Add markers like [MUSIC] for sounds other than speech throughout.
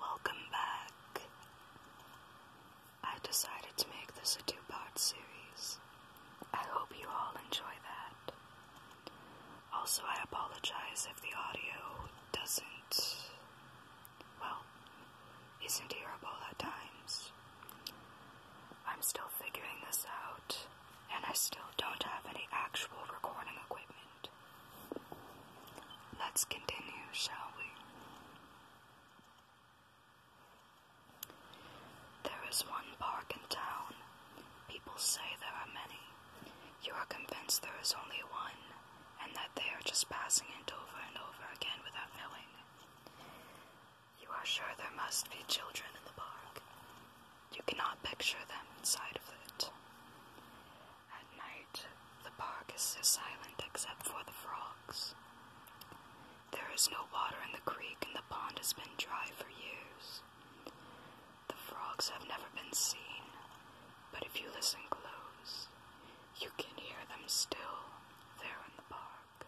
Welcome back. I decided to make this a two part series. I hope you all enjoy that. Also, I apologize if the audio doesn't, well, isn't hearable at times. I'm still figuring this out, and I still don't have any actual recording equipment. Let's continue, shall we? There is one park in town. People say there are many. You are convinced there is only one, and that they are just passing it over and over again without knowing. You are sure there must be children in the park. You cannot picture them inside of it. At night, the park is so silent except for the frogs. There is no water in the creek, and the pond has been dry for years. The frogs have never been seen, but if you listen close, you can hear them still there in the park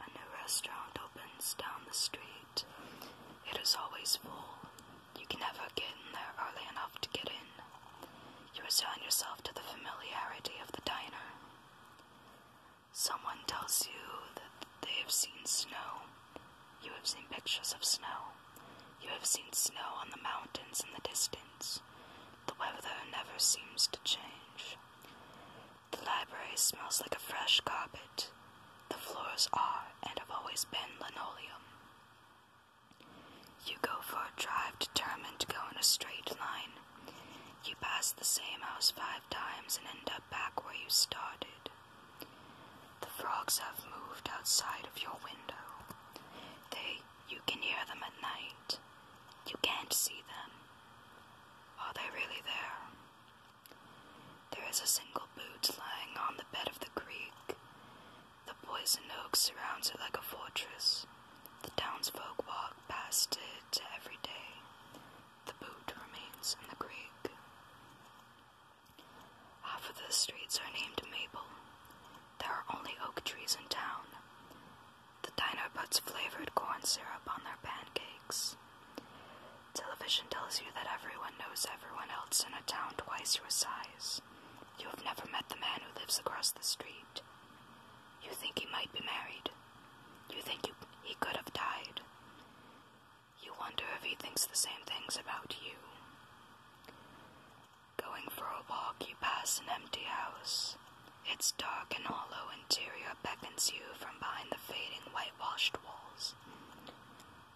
a new restaurant opens down the street. It is always full. You can never get in there early enough to get in. You resign yourself to the familiarity of the diner. Someone tells you that they have seen snow. You have seen pictures of snow. You have seen snow on the mountains in the distance. The weather never seems to change. The library smells like a fresh carpet. The floors are and have always been linoleum. You go for a drive determined to go in a straight line. You pass the same house five times and end up back where you started. The frogs have moved outside of your window. They, you can hear them at night. You can't see them. Are they really there? There is a single boot lying on the bed of the creek. The poison oak surrounds it like a fortress. The townsfolk walk past it every day. The boot remains in the creek. Half of the streets are named Maple. There are only oak trees in town. The diner puts flavored corn syrup on their pancakes. Television tells you that everyone knows everyone else in a town twice your size. You have never met the man who lives across the street. You think he might be married. You think you, he could have died. You wonder if he thinks the same things about you. Going for a walk, you pass an empty house. Its dark and hollow interior beckons you from behind the fading whitewashed walls.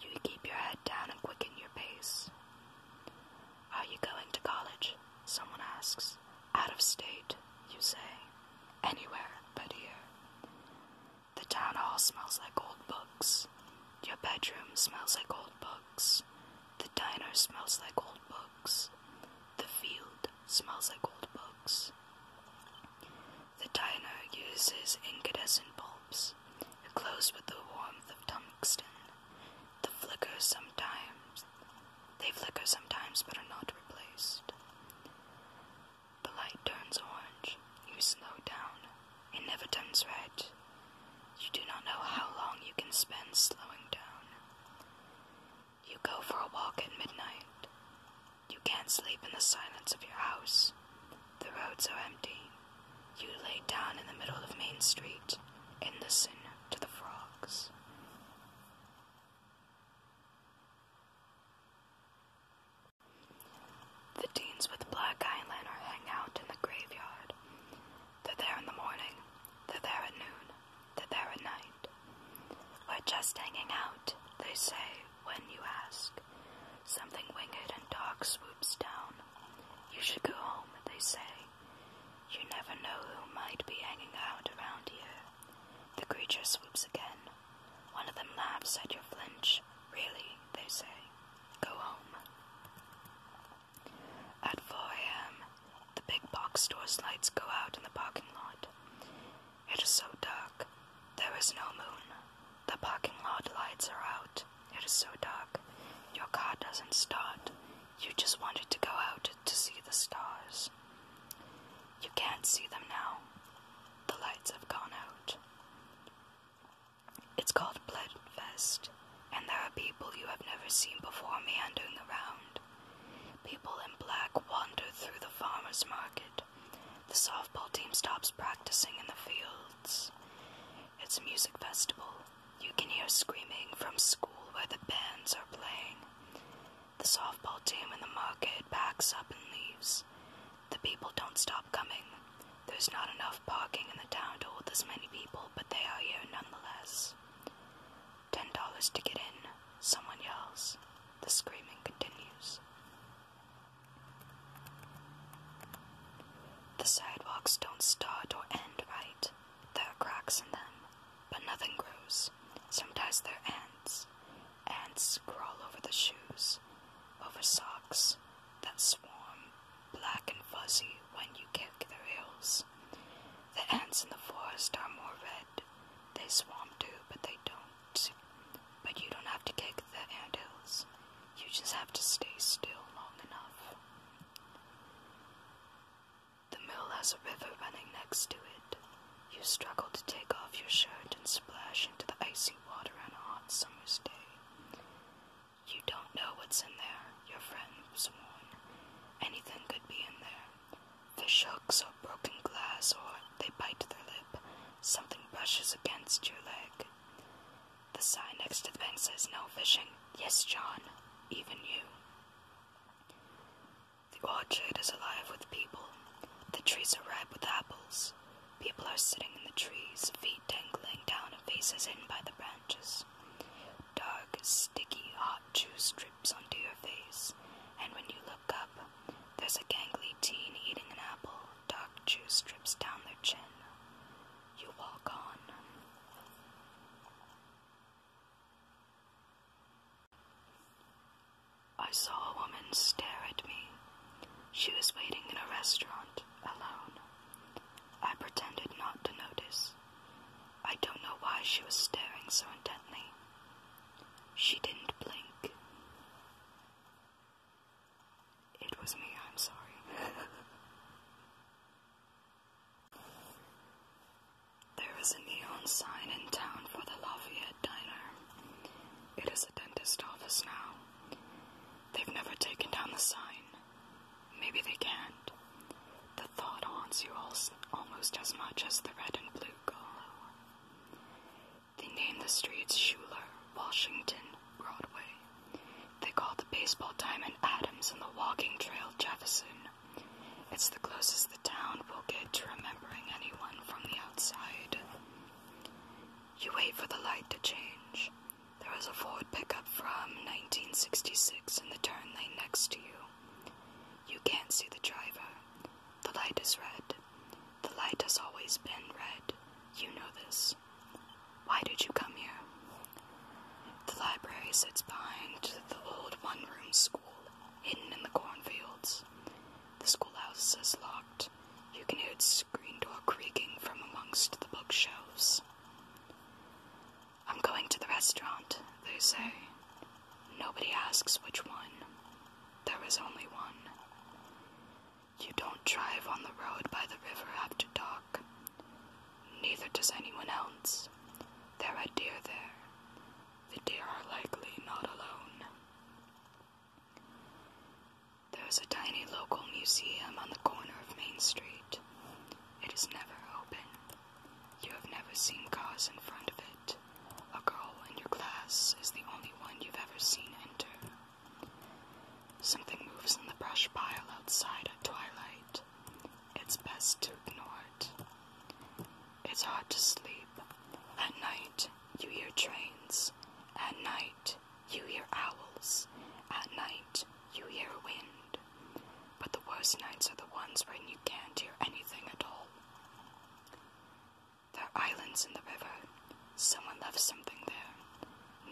You keep your head down and quicken your pace. Are you going to college? Someone asks. Out of state, you say. Anywhere but here. The town hall smells like old books. Your bedroom smells like old books. The diner smells like old books. The field smells like old books. The dino uses incandescent bulbs. It glows with the warmth of tungsten. The flicker sometimes they flicker sometimes but are not replaced. The light turns orange. You slow down. It never turns red. You do not know how long you can spend slowing down. You go for a walk at midnight. You can't sleep in the silence of your house. The roads are empty. You lay down in the middle of Main Street and listen to the frogs. The teens with black eye hang out in the graveyard. They're there in the morning, they're there at noon, they're there at night. We're just hanging out, they say, when you ask. Something winged and dark swoops down. You should go home, they say. You never know who might be hanging out around here. The creature swoops again. One of them laughs at your flinch. Really, they say. Go home. At 4 a.m., the big box store's lights go out in the parking lot. It is so dark. There is no moon. The parking lot lights are out. It is so dark. Your car doesn't start. You just wanted to go out to see the stars. You can't see them now. The lights have gone out. It's called Bloodfest and there are people you have never seen before meandering around. People in black wander through the farmer's market. The softball team stops practicing in the fields. It's a music festival. You can hear screaming from school where the bands are playing. The softball team in the market backs up and leaves. The people don't stop coming. There's not enough parking in the town to hold this many people, but they are here nonetheless. Ten dollars to get in, someone yells. The screaming continues. The sidewalks don't start or end right. There are cracks in them, but nothing grows. Sometimes there are ants. Ants crawl over the shoes, over socks that swarm black and fuzzy when you kick the hills. The ants in the forest are more red. They swarm too, but they don't. But you don't have to kick the ant hills. You just have to stay still long enough. The mill has a river running next to it. You struggle to take off your shirt and splash into the icy water on a hot summer's day. You don't know what's in there, your friends sworn. Anything could be in there. Fish hooks or broken glass, or they bite their lip. Something brushes against your leg. The sign next to the bank says no fishing. Yes, John, even you. The orchard is alive with people. The trees are ripe with apples. People are sitting in the trees, feet dangling down and faces hidden by the branches dark, sticky, hot juice drips onto your face, and when you look up, there's a gangly teen eating an apple. Dark juice drips down their chin. You walk on. I saw a woman stare at me. She was waiting in a restaurant, alone. I pretended not to notice. I don't know why she was staring so intently. She didn't blink. It was me, I'm sorry. [LAUGHS] there is a neon sign in town for the Lafayette Diner. It is a dentist office now. They've never taken down the sign. Maybe they can't. The thought haunts you almost as much as the red and blue Golo. They name the streets Schuler, Washington, Broadway. They call the baseball diamond Adams and the walking trail Jefferson. It's the closest the town will get to remembering anyone from the outside. You wait for the light to change. There is a Ford pickup from 1966 in the turn lane next to you. You can't see the driver. The light is red. The light has always been red. You know this. Why did you come here? The library sits behind the old one room school, hidden in the cornfields. The schoolhouse is locked you can hear its screen door creaking from amongst the bookshelves. I'm going to the restaurant, they say. Nobody asks which one. There is only one. You don't drive on the road by the river after dark. Neither does anyone else. There are deer there. The deer are likely not alone. There's a tiny local museum on the corner of Main Street. It is never open. You have never seen cars in front of it. A girl in your class is the only one you've ever seen enter. Something moves in the brush pile outside at twilight. It's best to ignore it. It's hard to sleep. At night, you hear trains. At night, you hear owls. At night, you hear wind. But the worst nights are the ones when you can't hear anything at all. There are islands in the river. Someone left something there.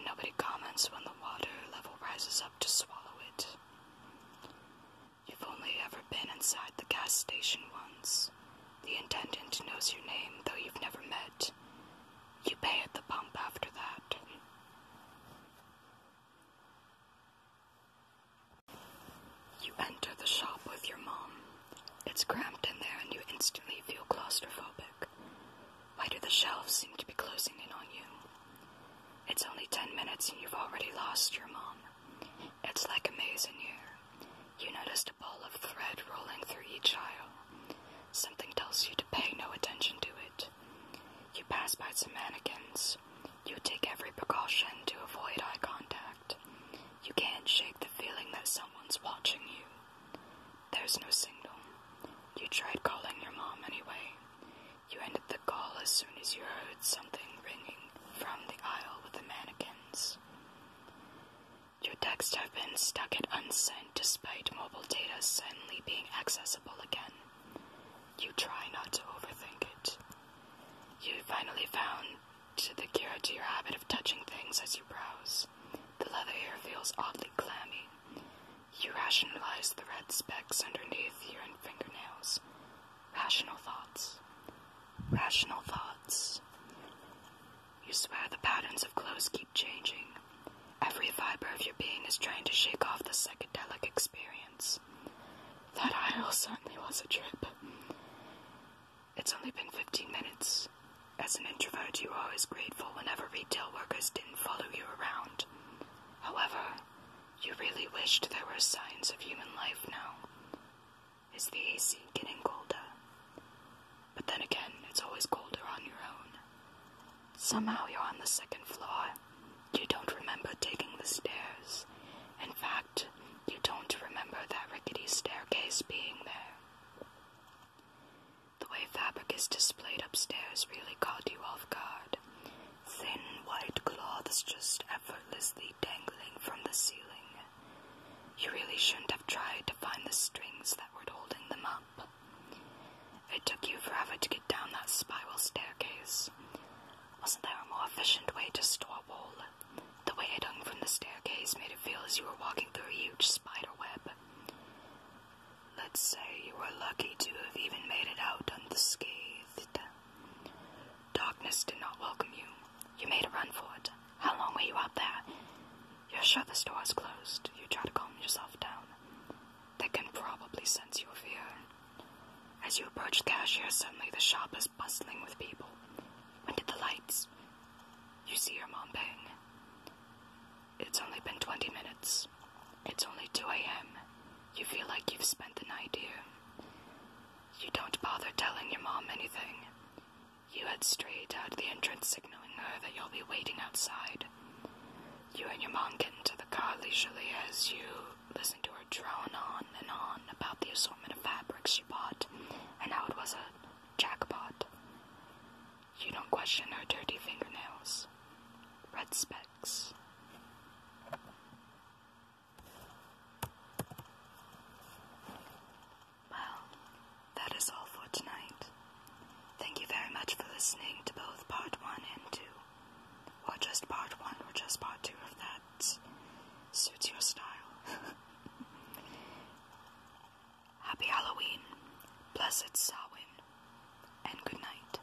Nobody comments when the water level rises up to swallow it. You've only ever been inside the gas station once. The intendant knows your name, though you've never met. You pay at the pump after that. You enter the shop with your mom. It's cramped in there, and you instantly feel claustrophobic. Why do the shelves seem to be closing in on you? It's only ten minutes, and you've already lost your mom. It's like a maze in here. You noticed a ball of thread rolling through each aisle. Something tells you to pay no attention to it. You pass by some mannequins. You take every precaution to avoid eye contact. You can't shake the feeling that someone's watching you. There's no signal. You tried calling your mom anyway. You ended the call as soon as you heard something ringing from the aisle with the mannequins. Your texts have been stuck at unsent despite mobile data suddenly being accessible again. You try not to overthink it. You finally found the cure to your habit of touching things as you browse. The leather here feels oddly clammy. You rationalize the red specks underneath your fingernails. Rational thoughts. Rational thoughts. You swear the patterns of clothes keep changing. Every fiber of your being is trying to shake off the psychedelic experience. That aisle certainly was a trip. It's only been 15 minutes. As an introvert, you are always grateful whenever retail workers didn't follow you around. However, you really wished there were signs of human life now. Is the AC getting colder? But then again, it's always colder on your own. Somehow you're on the second floor. You don't remember taking the stairs. In fact, you don't remember that rickety staircase being there. The way fabric is displayed upstairs really caught you off guard. Thin white cloths just effortlessly dangling from the ceiling. You really shouldn't have tried to find the strings that were holding them up. It took you forever to get down that spiral staircase. Wasn't there a more efficient way to store wool? The way it hung from the staircase made it feel as you were walking through a huge spider web. Let's say you were lucky to have even made it out unscathed. Darkness did not welcome you. You made a run for it. How long were you out there? You're sure the store is closed. You try to calm yourself down. They can probably sense your fear. As you approach the cashier, suddenly the shop is bustling with people. When did the lights? You see your mom bang. It's only been 20 minutes. It's only 2 a.m. You feel like you've spent the night here. You don't bother telling your mom anything. You head straight out the entrance, signaling her that you'll be waiting outside. You and your mom get into the car leisurely as you listen to her drone on and on about the assortment of fabrics she bought and how it was a jackpot. You don't question her dirty fingernails. Red specks. Well, that is all for tonight. Thank you very much for listening to both part 1 and 2. Or just part 1 or just part 2 if that suits your style. [LAUGHS] Happy Halloween, blessed Samhain, and good night.